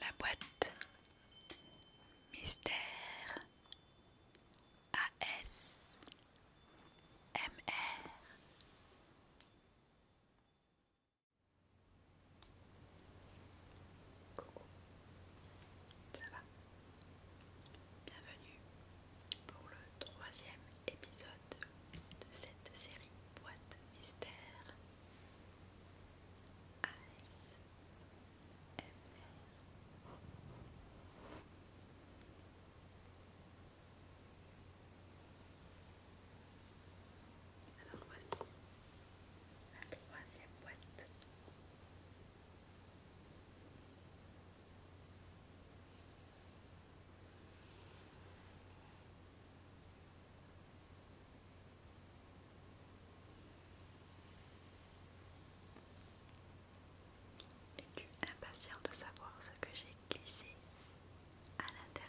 La boîte Mystère AS MR Coucou, ça va Bienvenue pour le troisième épisode de cette série boîte mystère Alors voici la troisième boîte. Es-tu impatient de savoir ce que j'ai glissé à l'intérieur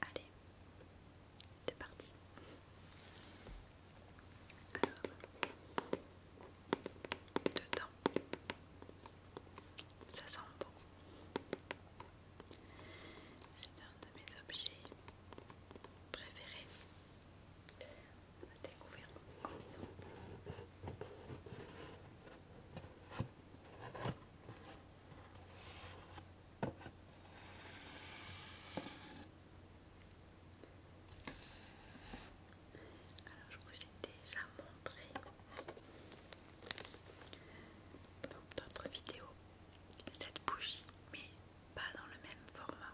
Allez, c'est parti. Alors, dedans, ça sent bon. C'est un de mes objets préférés. découvrir ensemble. Alors je vous ai déjà montré dans d'autres vidéos cette bougie, mais pas dans le même format.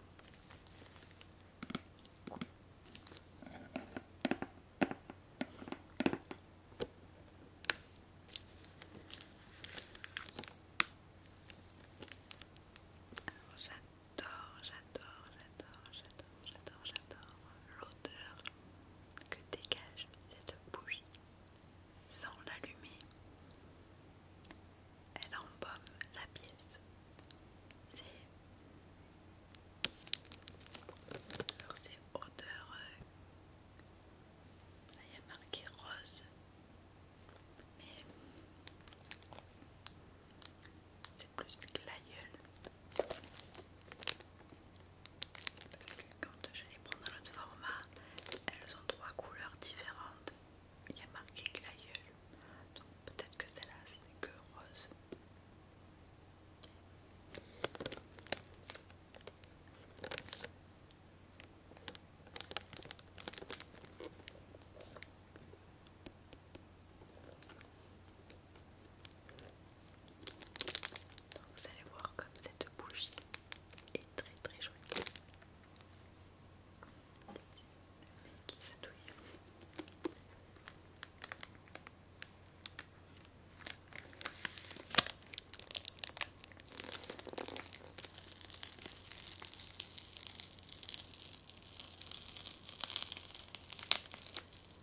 J'adore, j'adore, j'adore, j'adore, j'adore, j'adore l'odeur que dégage cette bougie. Sans l'allumer, elle embaume la pièce. C'est c'est odeur euh, il y a marqué rose. Mais plus que Parce que quand je les prends dans l'autre format, elles ont trois couleurs différentes. Il y a marqué glaïeul. Donc peut-être que celle-là, ce n'est que rose vous allez voir comme cette bougie est très très jolie.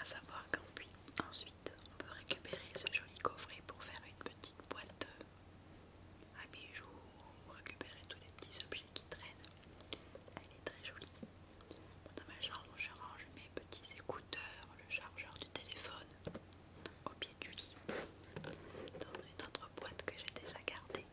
À savoir qu'ensuite puis ensuite on peut récupérer ce joli coffret pour faire une petite boîte euh, à bijoux ou récupérer tous les petits objets qui traînent. Elle est très jolie dans ma chambre, je range mes petits écouteurs, le chargeur du téléphone au pied du lit, dans une autre boîte que j'ai déjà gardée.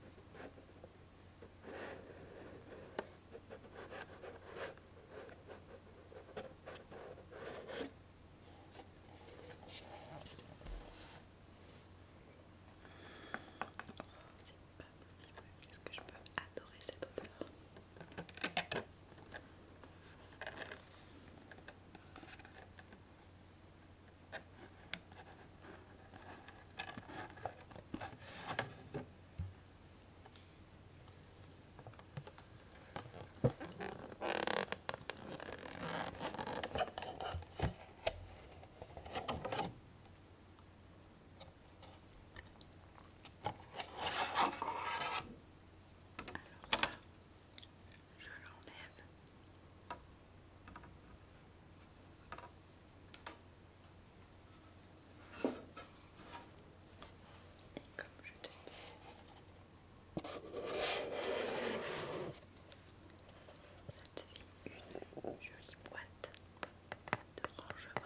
Est-ce que je peux adorer cette odeur alors je l'enlève. Et comme je te dis, ça une jolie boîte de rangement.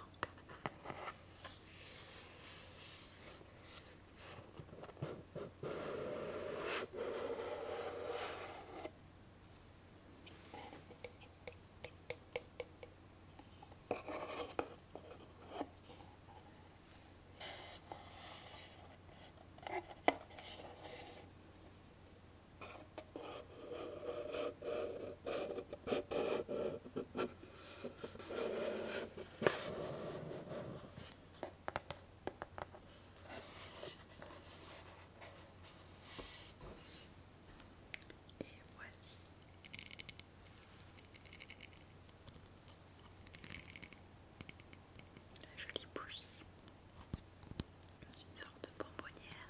Et voici. La jolie bougie une sorte de bonbonnière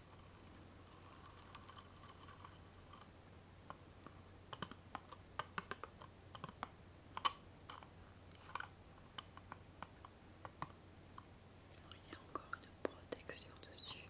il y a encore une protection dessus.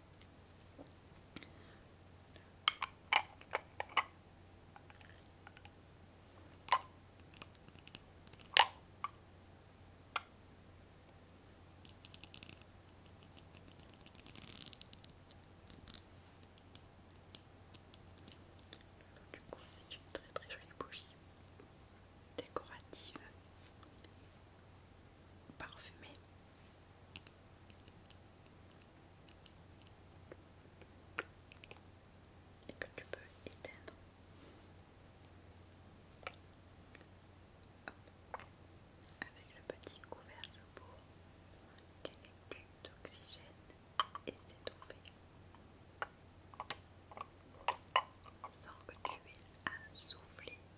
Du coup, c'est une très très jolie bougie décorative, parfumée et que tu peux éteindre. Avec le petit couvercle pour plus d'oxygène et c'est tombé. Sans que tu aies à souffler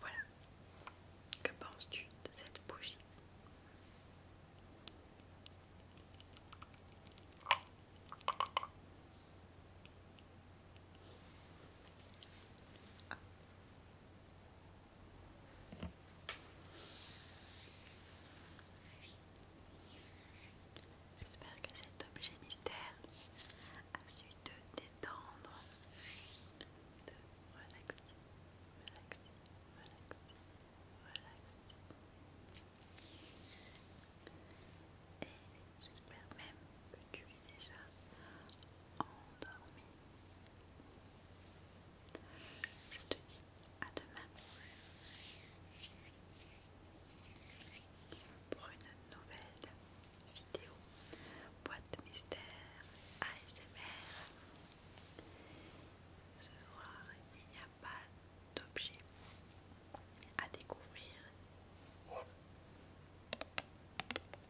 Voilà. Que penses-tu de cette bougie J'espère que cet objet mystère a su te détendre, te relaxer, relaxer, relaxer, relaxer. Et j'espère même que tu es déjà endormi. Je te dis à demain pour une nouvelle vidéo boîte mystère ASMR. Ce soir, il n'y a pas d'objet à découvrir.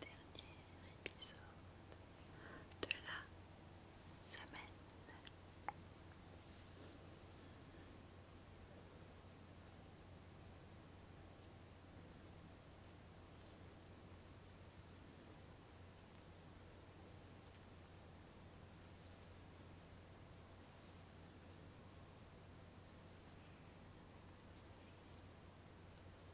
dernier épisode de la semaine.